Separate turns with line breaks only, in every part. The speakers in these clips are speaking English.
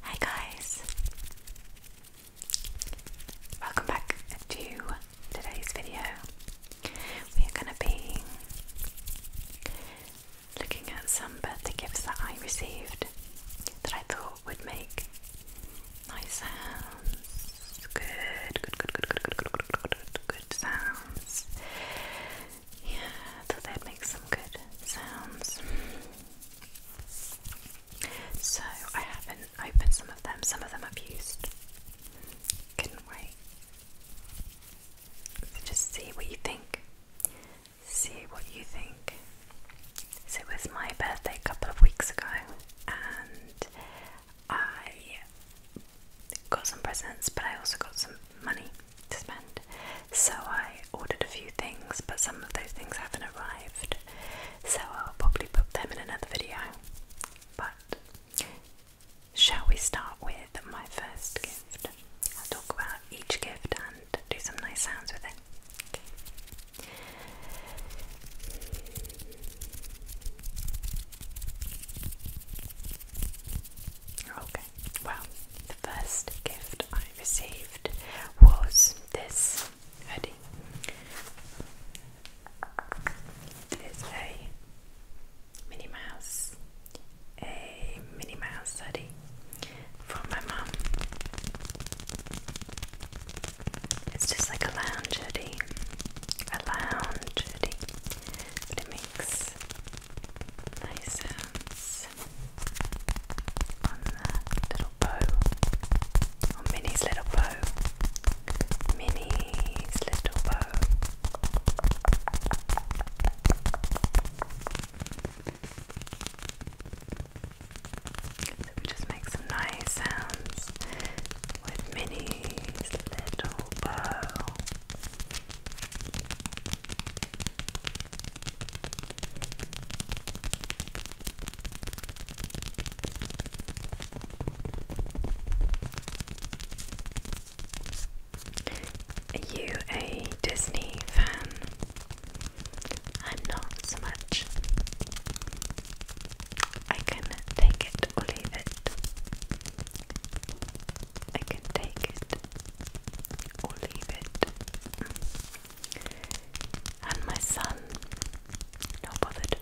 Hi guys! Welcome back to today's video. We are going to be looking at some birthday gifts that I received that I thought would make nice sounds. Good, good, good, good, good, good, good, good, sounds. Yeah, so that makes some good sounds. So I haven't opened some of them. Some of them I've used. Couldn't wait. So just see what you think. See what you think. So it was my birthday a couple of weeks ago, and I got some presents, but I also got some money to spend. So I ordered a few things, but some of those things haven't arrived. So I'll probably put them in another video. But shall we start with my first gift? I'll talk about each gift and do some nice sounds with it. Okay. Okay well, the first gift I received was this hoodie. It is a Minnie Mouse, a Minnie Mouse hoodie from my mum. It's just like a lounge hoodie, a lounge hoodie, but it makes nice sounds on the little bow, on oh, Minnie's little bow, Minnie's little bow. So we just make some nice sounds with Minnie's little bow you a Disney fan? I'm not so much. I can take it or leave it. I can take it or leave it. And my son, not bothered.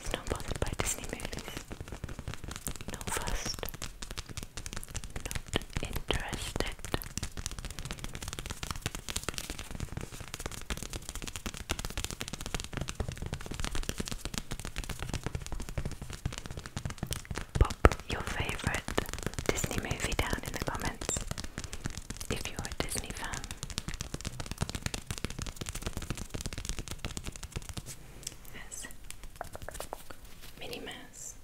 He's not bothered by Disney movies. Not fussed. Not interested pop your favorite Disney movie down in the comments if you're a Disney fan. Yes. Minnie Mouse.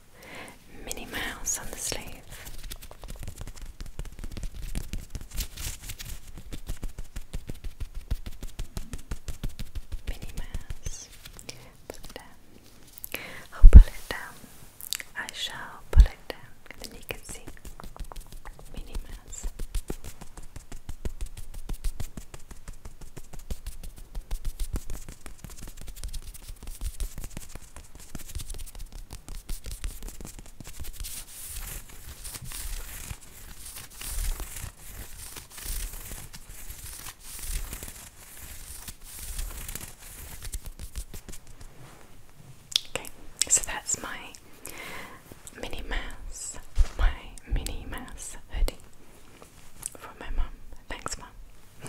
Minnie Mouse on the sleeve. Minnie Mouse. I'll oh, pull it down. I shall pull it down. And then you can see Minnie Okay, so that's my Minnie Mouse, my Minnie Mouse hoodie from my mum. Thanks, mum.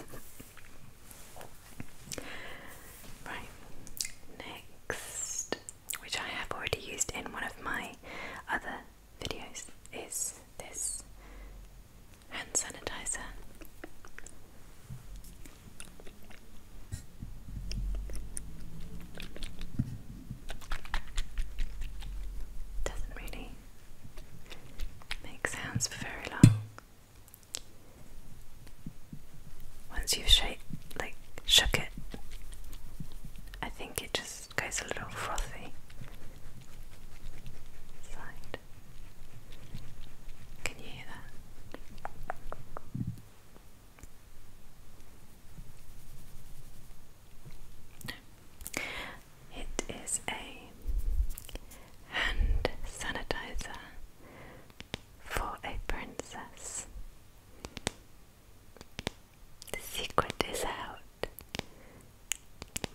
right, next, which I have already used in one of my other videos is this hand sanitizer. Doesn't really make sounds for very long. Once you've shake, like shook it, I think it just this goes a little frothy. Can you hear that? It is a hand sanitizer for a princess. The secret is out.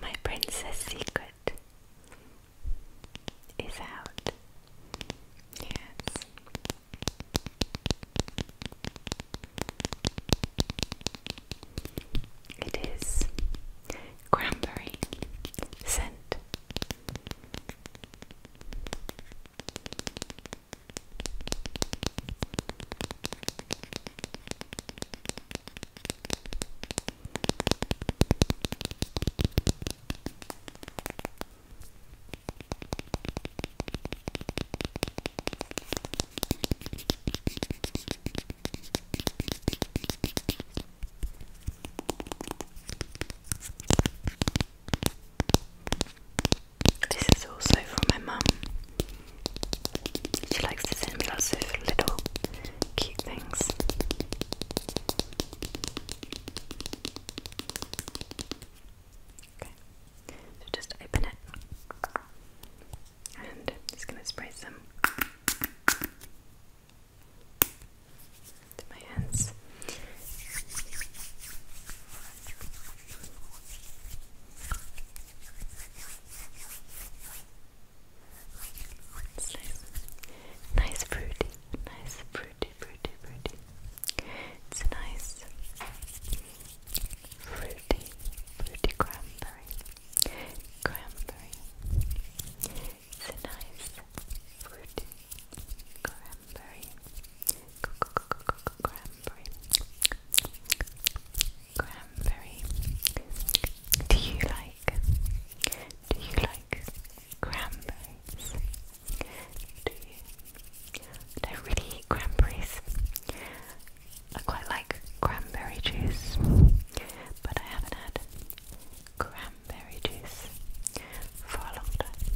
My princess secret is out. Yes. It is cranberry scent. This is also from my mom. She likes to send me lots of little cute things. Okay, so just open it and I'm just going to spray some to my hands. It's nice. Nice fruity. Nice fruity, fruity, fruity. It's a nice fruity, fruity cranberry. Cranberry. It's a nice fruity cranberry. cranberry cranberry? Do you like? Do you like cranberries? Do you? I don't really eat cranberries. I quite like cranberry juice, but I haven't had cranberry juice for a long time.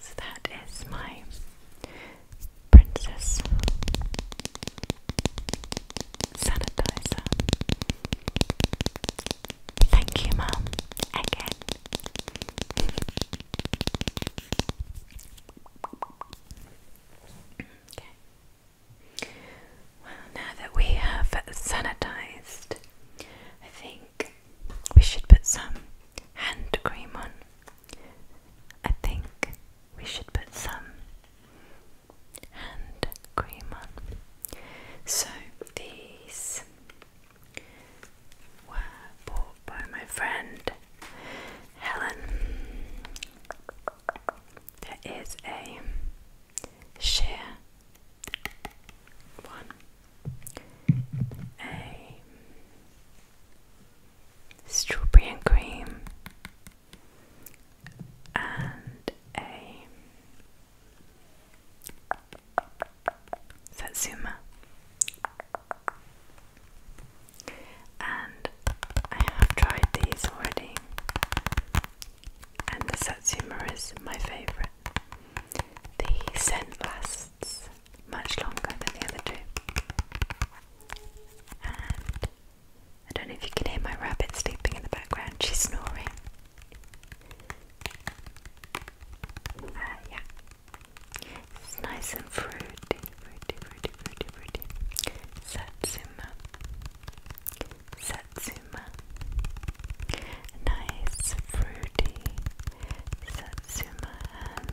So that is my Princess Sanitizer. Thank you, Mum, okay. Well, now that we have sanitized, I think we should put some hand cream on. I think we should put some hand cream on. So these were bought by my friend Helen. There is a sheer one, strawberry and cream, and a satsuma. And I have tried these already, and the satsuma is my favourite. The scent lasts much longer than the other two. And I don't know if you can hear my rabbit sleeping in the background, she's snoring. Uh, yeah. It's nice and fruity. Satsuma. Satsuma. Nice, fruity. Satsuma and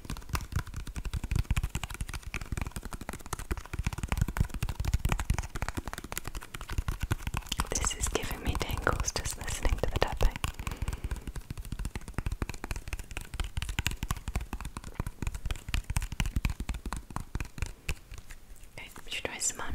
This is giving me tingles just listening to the tapping. Okay, should try some on.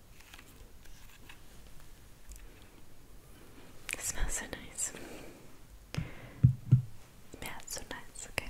It smells so nice. Yeah, so nice, okay.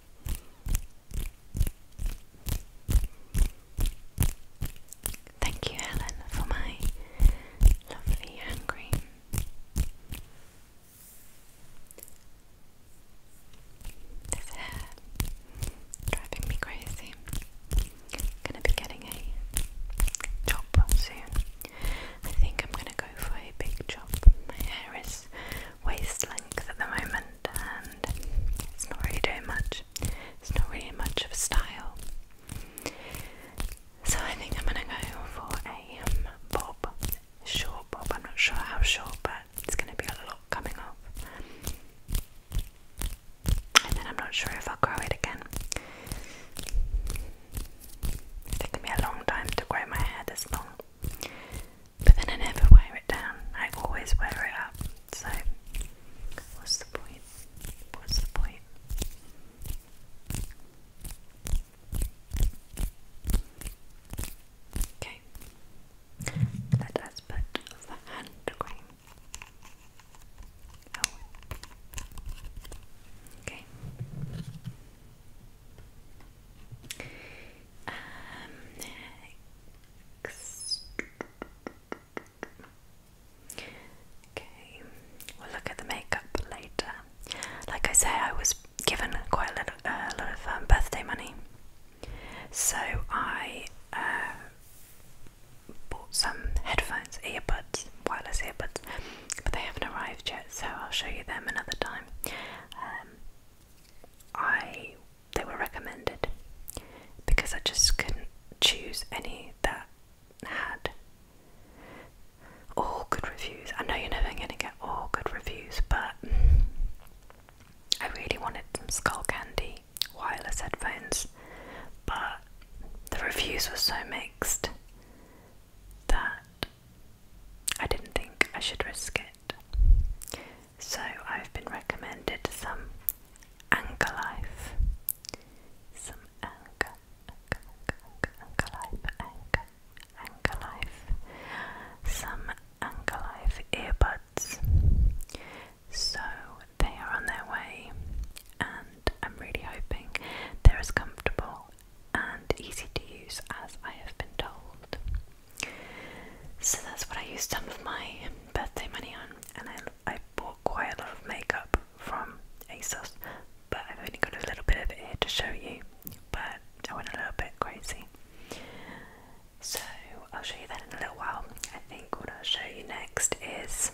Thank you, Helen, for my lovely hand cream. This hair driving me crazy. Gonna be getting a chop soon. I think I'm gonna go for a big chop. My hair is waist length at the moment, and it's not really doing much. It's not really much of a style. So I think I'm gonna go for a um, bob, short bob. I'm not sure how short, but it's gonna be a lot coming off. And then I'm not sure if I'll grow it again. It's taken me a long time to grow my hair this long. But then I never wear it down, I always wear it up. So, what's the point? What's the point? Okay, let us put the hand oh. Okay. Um, Okay, we'll look at the makeup later. Like I say, I was given quite a little, uh, lot of um, birthday money, so I uh, bought some headphones, earbuds, wireless earbuds, but they haven't arrived yet, so I'll show you them another time. Um, I they were recommended because I just couldn't choose any that had all good reviews. I know you're never going to get all good reviews, but I really wanted some Skull Candy wireless headphones, but the reviews were so mixed that I didn't think I should risk it. So I've been recommended some Anchor Some Anchor, Some Anchor Life earbuds. So they are on their way, and I'm really hoping they're as comfortable and easy to use as I have been told. So that's what I used some of my birthday money on, and I, I bought quite a lot of makeup from ASOS, but I've only got a little bit of it here to show you. But I went a little bit crazy. So I'll show you that in a little while. I think what I'll show you next is.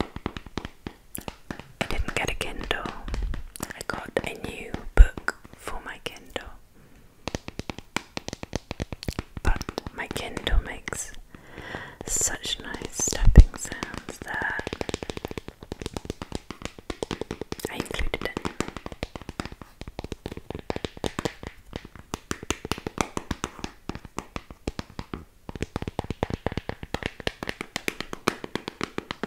I didn't get a Kindle. I got a new book for my Kindle. But my Kindle makes such nice stepping sounds that I included it.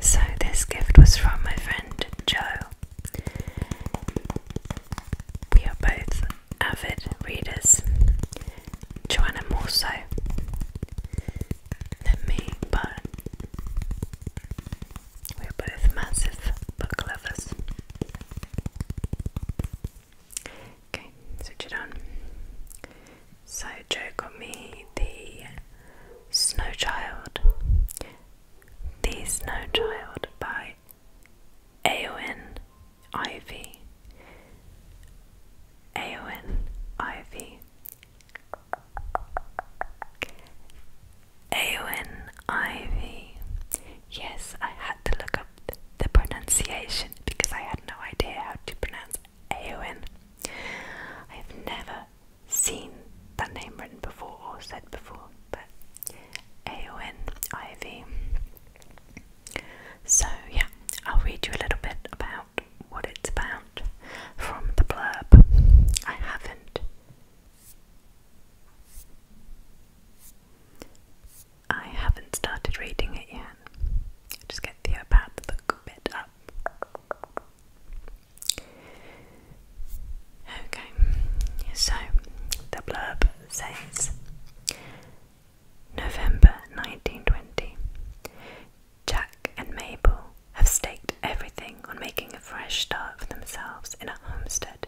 So this gift was from my friend Joe. We are both avid readers. Joanna more so than me, but we're both massive book lovers. Okay, switch it on. So Joe got me the Snow Child. The Snow Child by Aon Ivy. Aon Ivy. Aowen Ivy. Yes, I had to look up the pronunciation because I had no idea how to pronounce pronounced I have never seen that name written before or said before, but A O N Ivy. So, yeah, I'll read you a little bit about what it's about from the blurb. I haven't. I haven't started reading it yet. Just get the iPad, the book bit up. Okay, so the blurb says November 1920. Jack and Mabel have staked everything on making a fresh start for themselves in a homestead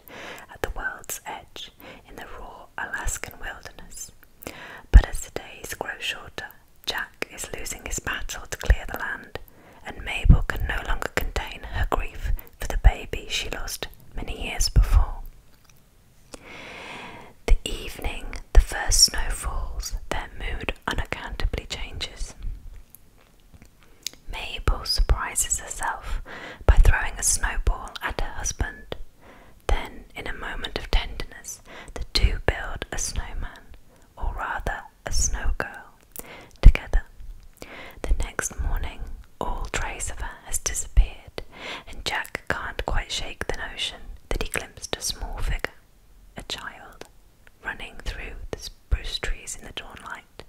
at the world's edge in the raw Alaskan wilderness. But as the days grow shorter, Jack is losing his battle to clear the land, and Mabel can no longer contain her grief for the baby she lost many years before. The evening the first snow falls, their mood unaccountably changes. Mabel surprises herself by throwing a snowball at her husband, then, in a moment of tenderness, the two build a snowman, or rather, a snow girl, together. The next morning, all trace of her has disappeared, and Jack can't quite shake the notion that he glimpsed a small figure, a child, running through the spruce trees in the dawn light,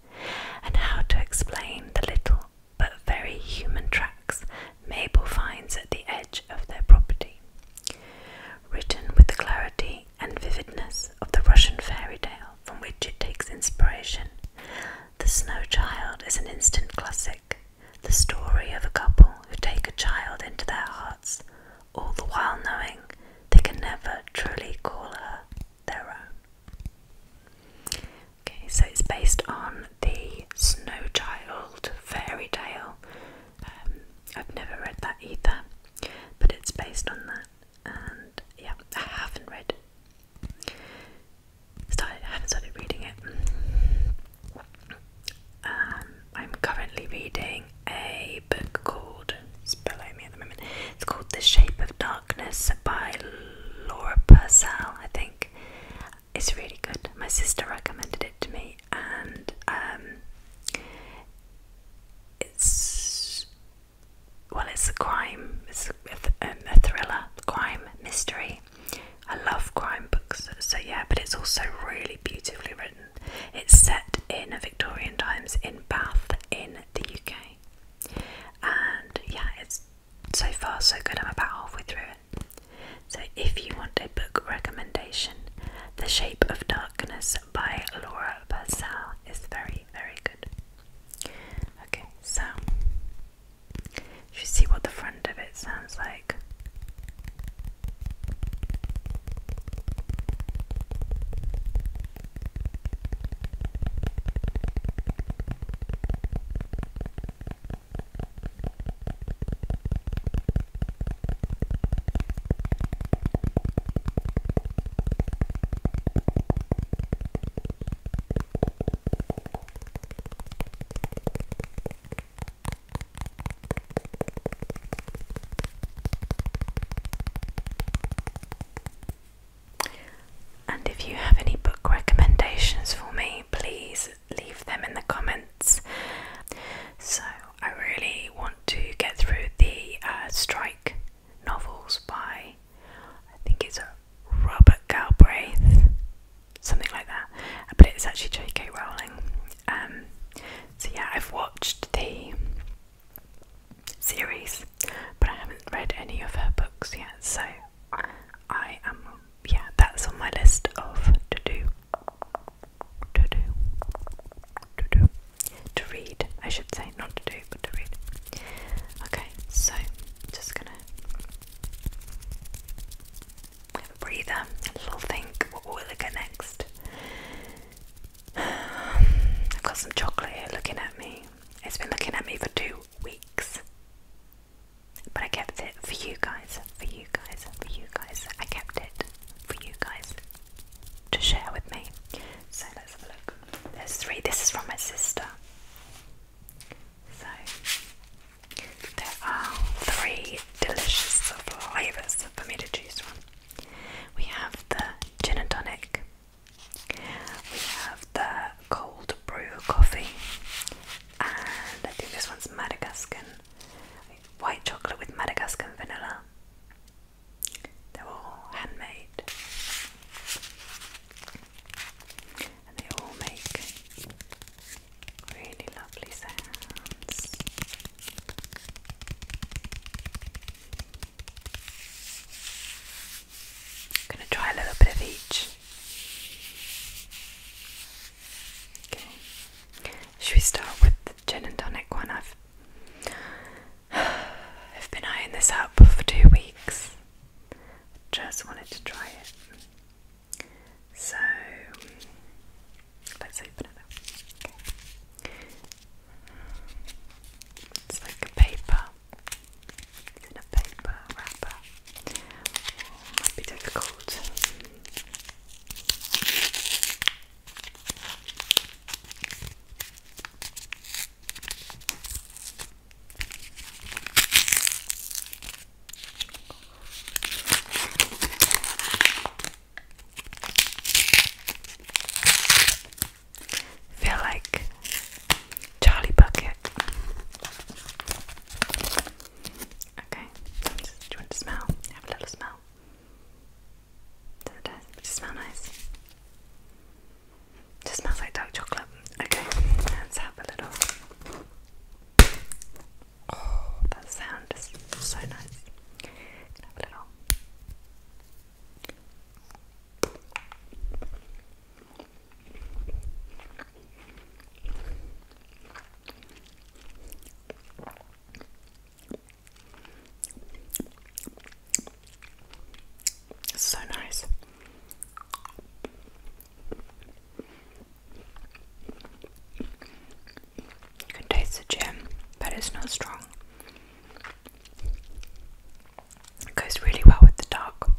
and how to explain the little but very human tragedy Mabel finds at the edge of their property. Written with the clarity and vividness of the Russian fairy tale from which it takes inspiration, The Snow Child is an instant classic, the story of a couple who take a child into their hearts, all the while knowing they can never truly call her their own. Okay, so it's based on the Snow Child fairy tale um, I've never read that either, but it's based on that, and yeah, I haven't read. I haven't started reading it. Um, I'm currently reading a book called. It's below me at the moment. It's called *The Shape of Darkness* by Laura Purcell, I think it's really good. My sister recommended it to me, and um, it's well, it's a crime, it's a, thriller, crime, mystery. I love crime books, so yeah, but it's also really beautifully written. It's set in a Victorian times in Bath in the UK, and yeah, it's so far so good. I'm about halfway through it. So, if you want a book recommendation, The Shape of Darkness by Laura Purcell is very, very good. Okay, so you should see what the front of it sounds like. And if you have any book recommendations for me, please leave them in the comments. So, I really want to get through the uh, Strike novels by, I think it's Robert Galbraith, something like that, uh, but it's actually J.K. Rowling. Um, so, yeah, I've watched the series, but I haven't read any of her books yet, so I am yeah, that's on my list of to do, to do, to do, to read. I should say not to do, but to read. Okay, so just gonna breathe a a little think. What will I get next? I've got some chocolate here looking at me. It's been looking at me for two weeks. But I kept it for you guys, for you guys, for you guys. I kept it for you guys to share with me. So let's have a look. There's three. This is from my sister. So there are three delicious flavors for me to choose from. We have the gin and tonic. We have the cold brew coffee, and I think this one's Madagascar. White chocolate with Madagascar vanilla. They're all handmade. And they all make really lovely sounds. I'm going to try a little bit of each. Should we start with the gin and tonic one? I've I've been eyeing this up for two weeks. Just wanted to try it. So let's open it It's like a paper. It's in a paper wrapper might be difficult. Feel like Charlie Bucket. Okay. Do you want to smell? Have a little smell. Does it, smell nice? just smells like dark chocolate. Okay, let's have a little. Oh, that sound is so nice. have a little. It's so nice. can taste the gem, but it's not strong. goes really well with the dark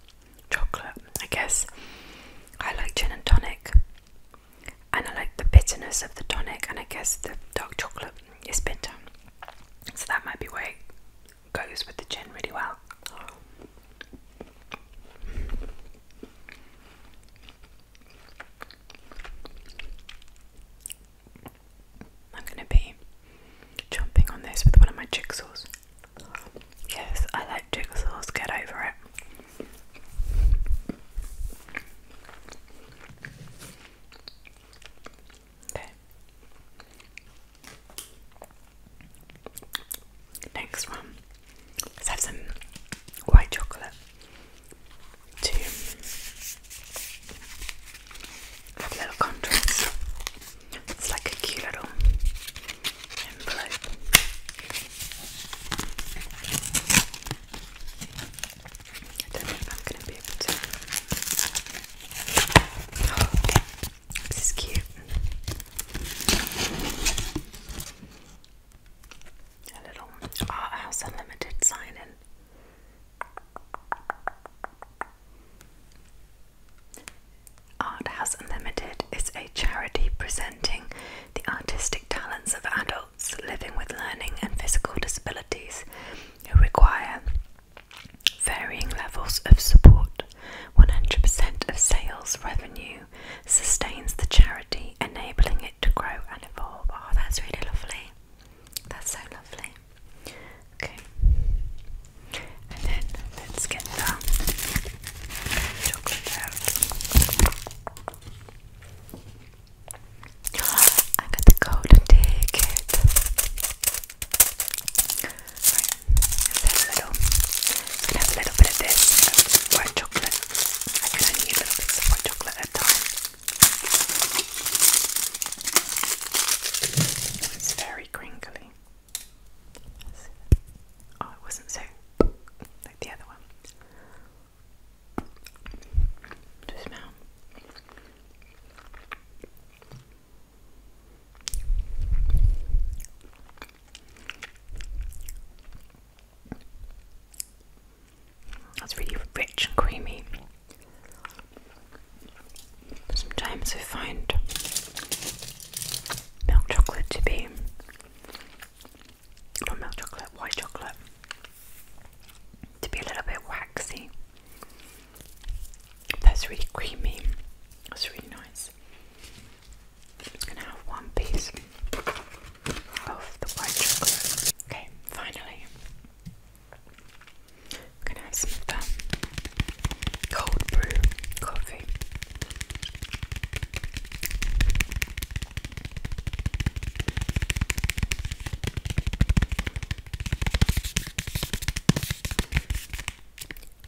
chocolate, I guess. I like gin and tonic, and I like the bitterness of the tonic, and I guess the dark chocolate is bitter, so that might be why it goes with the gin really well. I'm gonna be jumping on this with one of my jigsaws. Yes, I like jigsaws, get over it. Okay. Next one. Let's have some white chocolate to have a little contrast. It's like a cute little envelope. I don't know if I'm going to be able to. this is cute. A little Art House Unlimited sign in. Art House Unlimited is a charity presenting the artistic talents of adults living with learning and physical disabilities who require varying levels of support. 100% of sales revenue sustains the charity, enabling it to grow and evolve. Oh, that's really lovely. That's so lovely. Okay. And then let's get that. I'm gonna go to little, going have a little bit of this of white chocolate. I can only little bits of white chocolate at a time. It's very crinkly. Oh, it wasn't so the other one. To smell. That's really rich and creamy. Sometimes I find milk chocolate to be not milk chocolate, white chocolate, to be a little bit waxy. That's really creamy. That's really nice. just gonna have one piece of the white chocolate. Okay, finally, gonna have some um, cold brew coffee.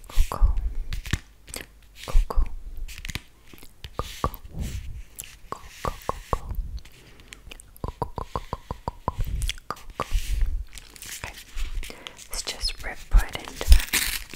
Coco, Coco, Coco, Coco, Coco, Okay, let's just rip right into it.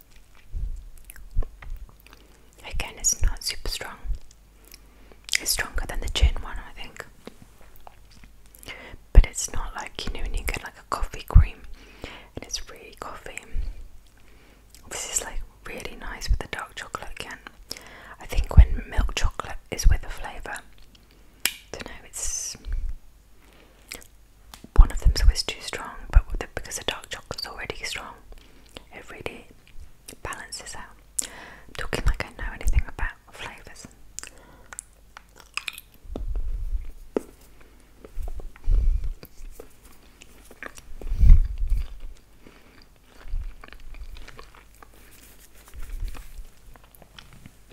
Again, it's not super strong. It's stronger than the gin one, I think. But it's not like you know you get like a coffee cream and it's really coffee. This is like really nice with the dark chocolate again. I think when milk chocolate is with a flavour, don't know, it's one of them's always too strong, but because the dark chocolate's already strong, it really balances out. talking like I know anything about flavours.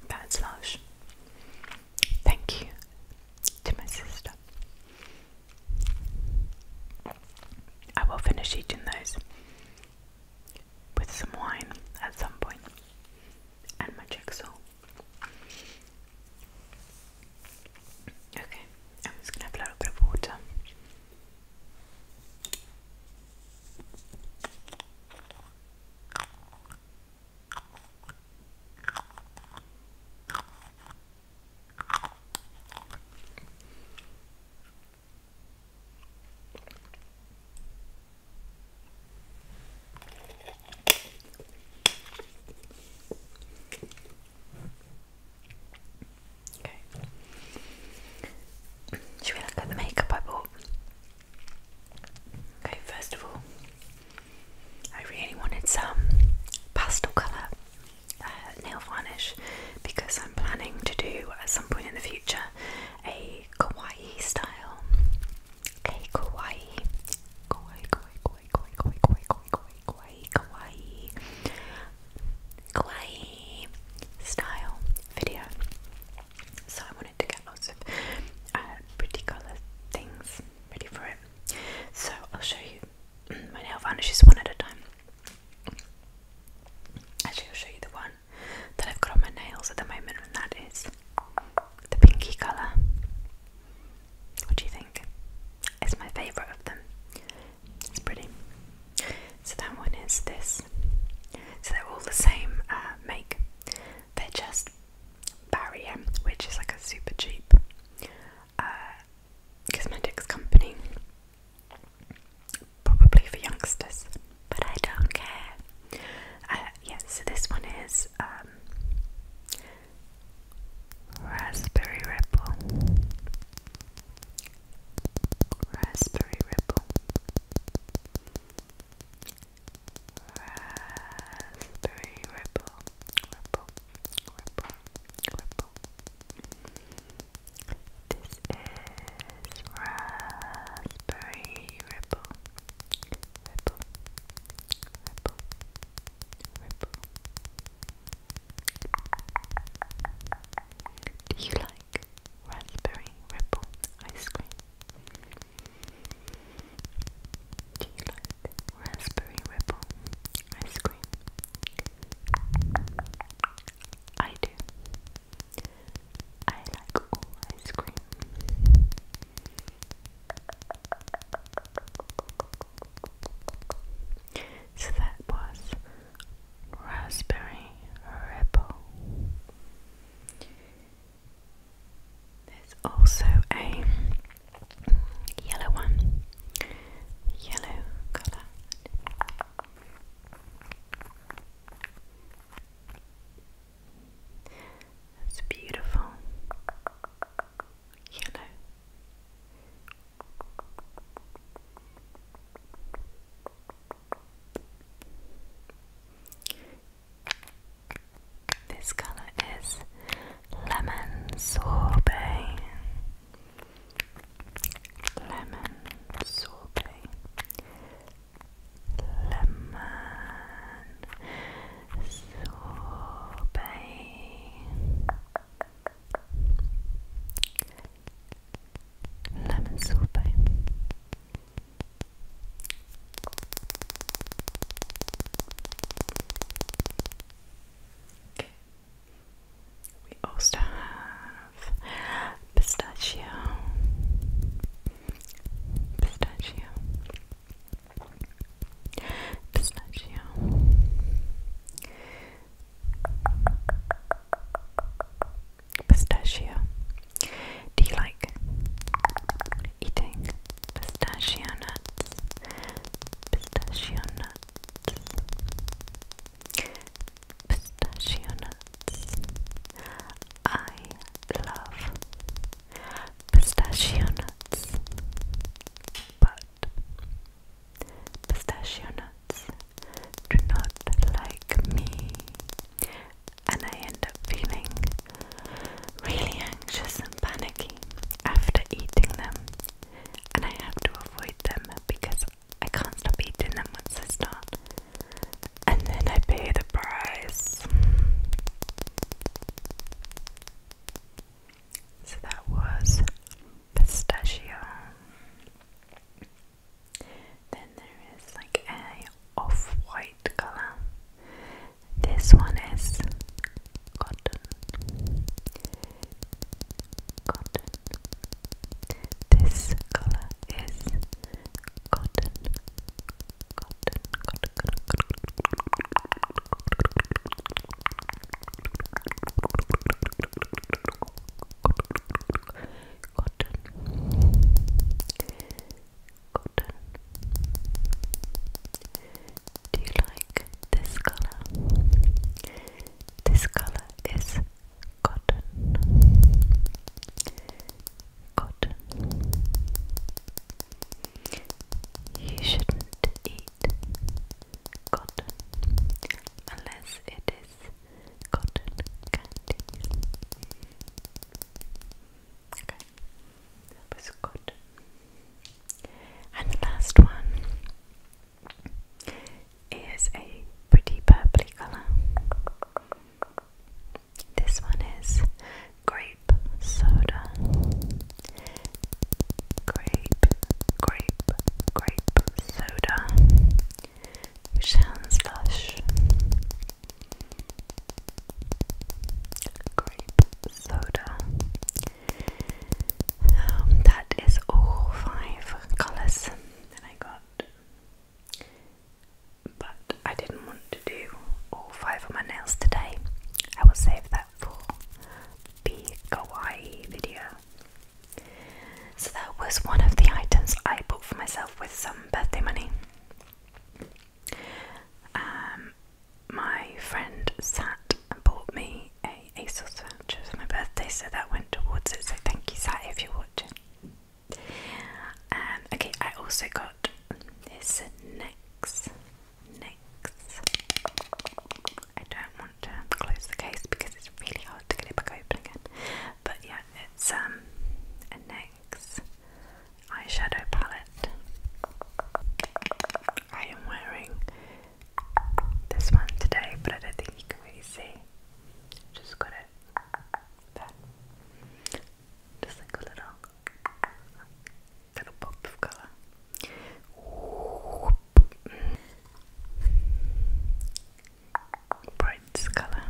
That's lush. Thank you to my sister. I will finish eating those with some wine at some point and my jigsaw. Okay, I'm just gonna have a water. Okay. Should we look at the makeup I bought? Okay, first of all, I really wanted some pastel colour nail varnish because I'm planning to do at some point in the future a kawaii style. A kawaii, kawaii, kawaii, kawaii, kawaii, kawaii, kawaii, kawaii, kawaii, kawaii style video. So I wanted to get lots of pretty colour things ready for it. So I'll show you my nail varnishes one at a time. Actually, I'll show you the one that I've got on my nails at the moment, and that is the pinky colour. What do you think? It's my favourite of them. It's pretty. So that one is this. So they're all the same uh, make. They're just Barrier, which is like a super cheap uh, cosmetics company, probably for youngsters, but I don't care. Uh, so this one is um, Raspberry Ripple. Raspberry Ripple raspberry ripple, ripple, ripple, ripple. This is raspberry ripple, ripple, ripple, ripple. Do you like raspberry ripple ice cream? Do you raspberry ripple ice cream? I do. I like ice cream. So that was raspberry ripple. There's also a yellow one, yellow colour. That's beautiful. Yellow. This colour is lemon sorbet. Lemon sorbet. Lemon sorbet. Lemon sorbet. We also have pistachio, pistachio, pistachio. Pistachio. Do you like eating pistachio nuts, pistachio nuts, pistachio nuts. I love pistachio nuts, but pistachio nuts do not like me, and I end up feeling really anxious and panicky after eating them, and I have to avoid them because I can't stop eating them once I start, and then I pay the price. So that was pistachio. Then there is like a off-white color. This one is cotton. Cotton. This color is cotton. Cotton. Cotton. cotton, cotton cotton. Do you like this color? This color is cotton. Cotton. You shouldn't eat cotton unless it is cotton candy. Okay. That was good. And the last one is a pretty purpley colour. This one is grape soda. Grape, grape, grape soda. Which sounds lush grape soda. Um, that is all five colours that I got. But I didn't want to do all five of my nails today. I will save that for the kawaii video. So that was one of the items I bought for myself with some birthday money. Um, my friend Sat and bought me a ASOS voucher for my birthday, so that went towards it. So thank you, Sat, if you're watching. Um, okay, I also got this next, next. I don't want to close the case because it's really hard to get it back open again. But yeah, it's um a eyeshadow palette. I am wearing this one today, but I don't think you can really see. Just got it there. Just like a little, little pop of colour. Brightest colour.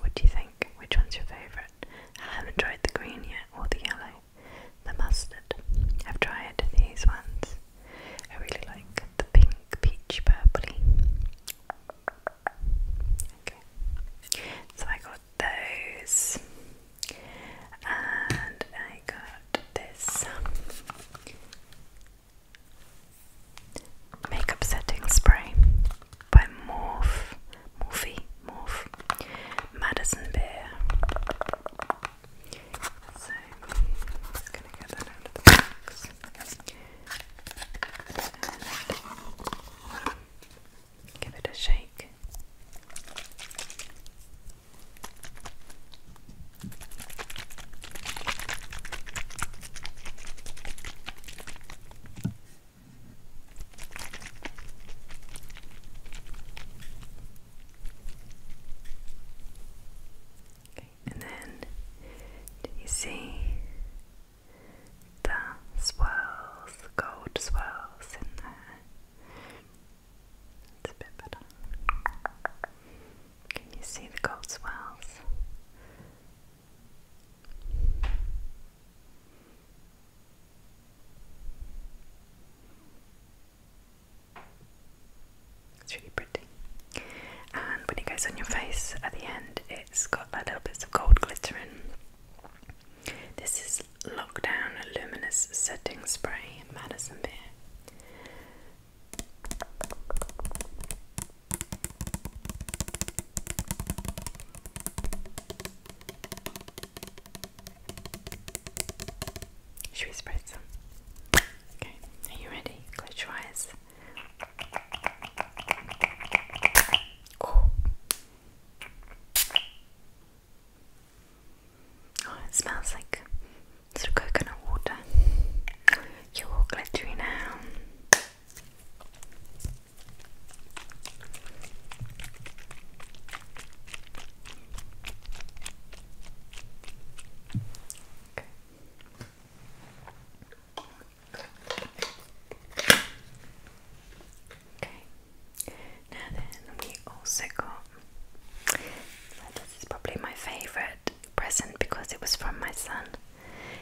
What do you think? Which one's your favourite? I haven't tried the green yet or the yellow. The mustard. I've tried these ones. I really like the pink, peach, purpley. Okay. So I got those. And I got this makeup setting spray by Morph, Morphe, Morph, Madison Beer. So I'm just gonna get that out of the box. give it a shake and then do you see the swirls, the gold swirls in there? It's a bit better. Can you see the gold swirls? It's really pretty. And when it goes on your face at the end, it's got a little bits of gold glitter in. This is Lockdown Luminous Setting Spray Madison Beer. Should we spread some? Okay, are you ready? Close your eyes. Oh. it smells like sort coconut water. You're glittery now. Okay. Now then, we also got. This is probably my favorite present because it was from my son.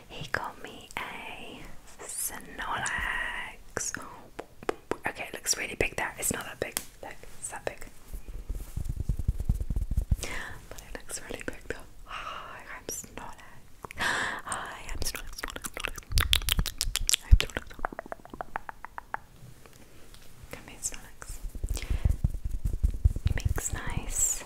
He got me a Snorlax. Okay, it looks really big there. It's not that big. it's that big. But it looks really big though. Hi, i Hi, I'm Snorlax. Snorlax, Snorlax. I'm Snorlax. nice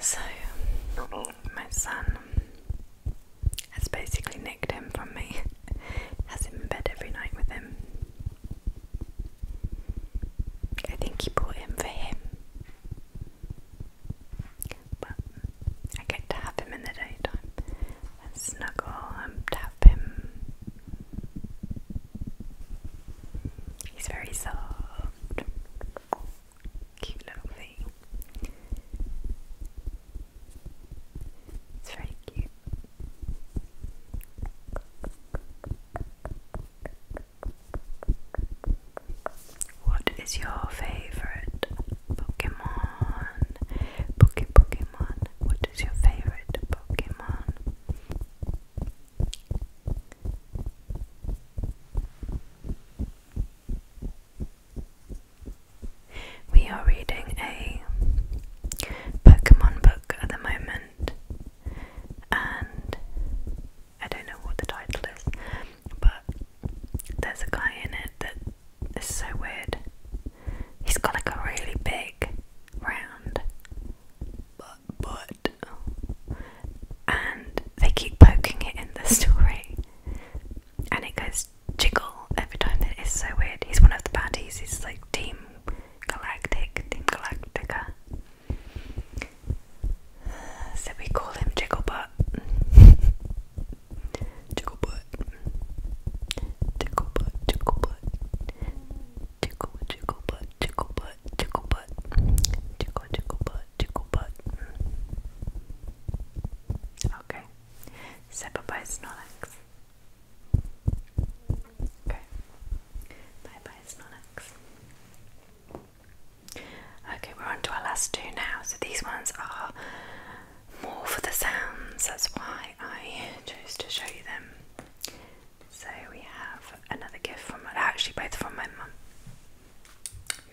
So, my son has basically nicked him from me, has him in bed every night with him. I think he bought him for him. But I get to have him in the daytime snuggle and tap him. He's very soft. Cute little thing. It's very cute. What is your favorite Pokemon? Poke Pokemon. What is your favorite Pokemon? We are reading a Pokemon book at the moment and I don't know what the title is, but there's a guy in it that is so weird. He's got like a really big round butt, and they keep poking it in the story, and it goes jiggle every time. It is so weird. He's one of the baddies. He's like team Galactic, Team Galactica. Uh, so we call him Jigglebutt. Jigglebutt. Jigglebutt, Jigglebutt. Jiggle, Jigglebutt, Jigglebutt, Jigglebutt. Jiggle, Jigglebutt, Jigglebutt. Okay. So bye bye, Snorlax. Okay. Bye bye, Snorlax. Okay, we're on to our last two now. So these ones are more for the sounds, that's why I chose to show you them. So we have another gift from actually both from my mum.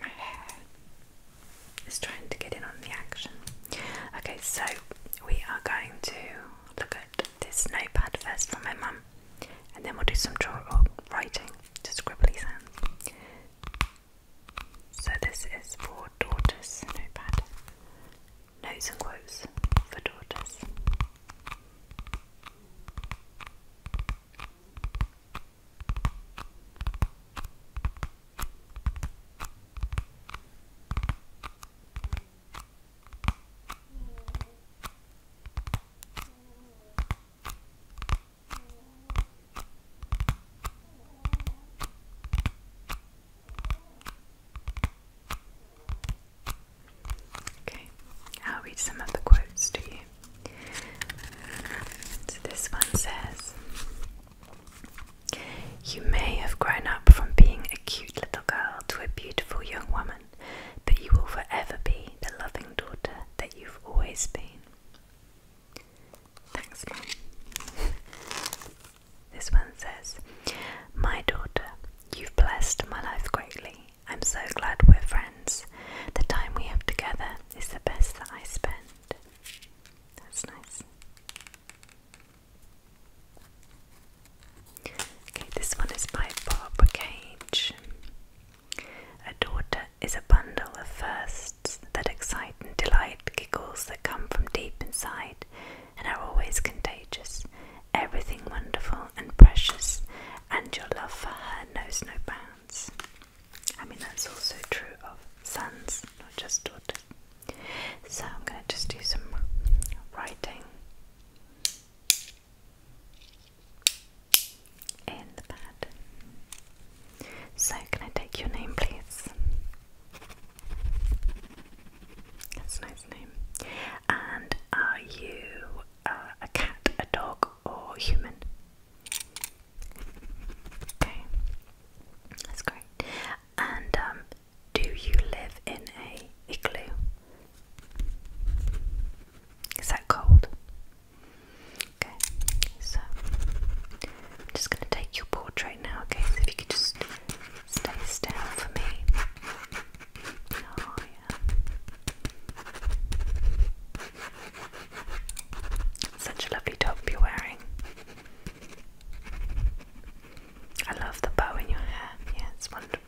My hair is trying to get in on the action. Okay, so we are going to look at this notepad first from my mum. And then we'll do some drawing, or writing, just scribbly hands. So this is for daughters notepad. Notes and quotes for daughters. Okay, I'll read some of the quotes to you. So this one says, You may have grown up from being a cute little girl to a beautiful young woman but you will forever be the loving daughter that you've always been. Thanks, Mum. this one says, My daughter, you've blessed my life greatly. I'm so glad we're friends. The time we have together is the best that I spend. That's nice. Okay, this one is by Bob Cage. A daughter is a bundle of firsts that excite and delight giggles that come from deep inside and are always contagious. Everything wonderful and precious, and your love for her knows no bounds. I mean, that's also true of sons, not just daughters. So I'm going to just do some writing in the bed. So, can I take your name, please? That's a nice name. And are you uh, a cat, a dog, or human? Okay, that's great. And um, do you live in a igloo? Is that cold? Okay, so I'm just going to take your portrait now, okay? So if you could just stay still for me. Oh, Such a lovely top you're wearing. I love the bow in your hair. Yeah, it's wonderful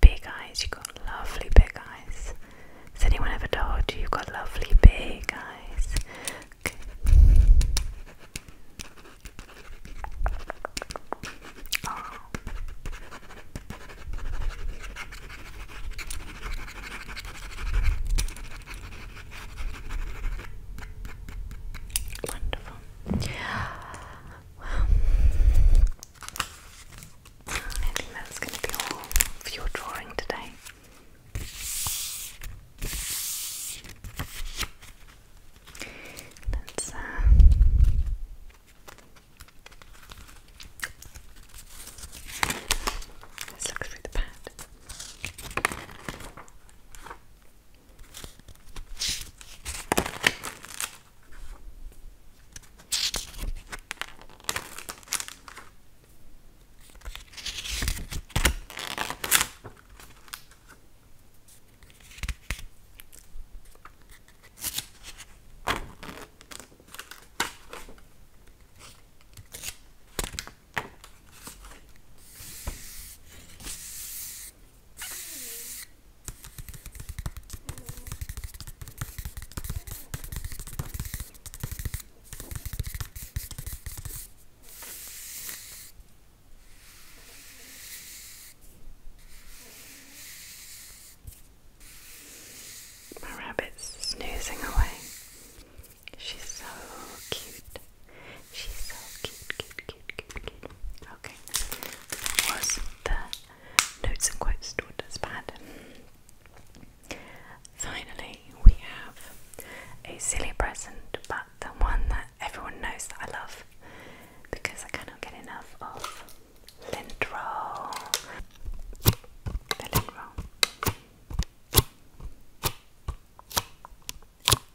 big eyes, you've got lovely big eyes. Has anyone ever told you you've got lovely big eyes? Ah. Wonderful. Well, I think that's going to be all for your drawing today. Let's Let's look through the pad. My rabbit's snoozing away. She's so cute. She's so cute, cute, cute, cute, cute. Okay. Was the notes and quotes stored as Finally, we have a silly present, but the one that everyone knows that I love because I cannot get enough of lint roll.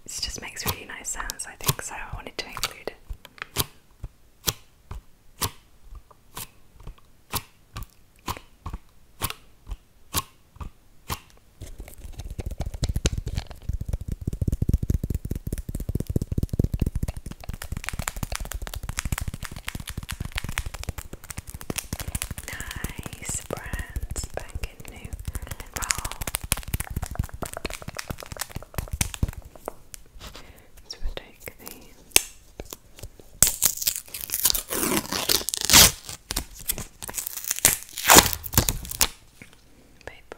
This just makes really nice sounds, I think, so I wanted to include it. Nice brand spanking new roll. So take these. Paper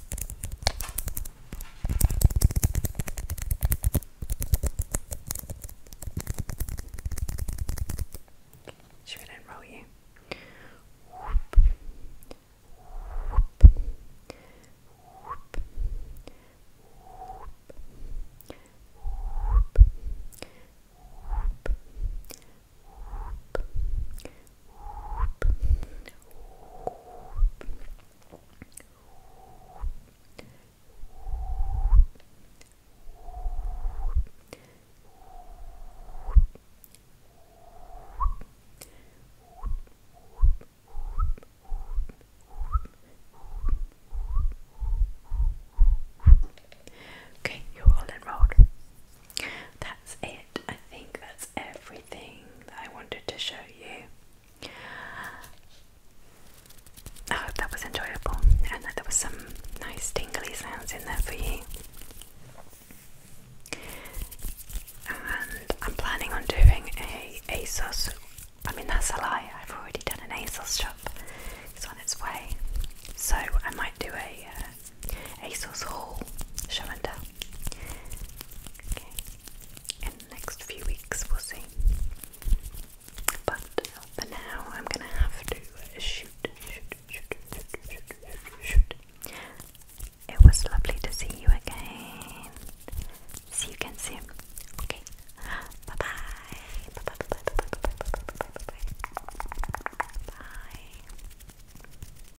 Should we enroll you? Whoop. Whoop. Whoop. Whoop. Okay, you're all enrolled that's it. I think that's everything that I wanted to show you. I hope that was enjoyable and that there was some nice tingly sounds in there for you. And I'm planning on doing a ASOS. I mean, that's a lie. I've already done an ASOS shop. It's on its way. So I might do a uh, Asus whole, show and tell. in the next few weeks we'll see. But for now, I'm gonna have to shoot. It was lovely to see you again. See you again soon. Okay, bye bye. Bye bye bye bye bye bye bye bye bye bye bye. Bye.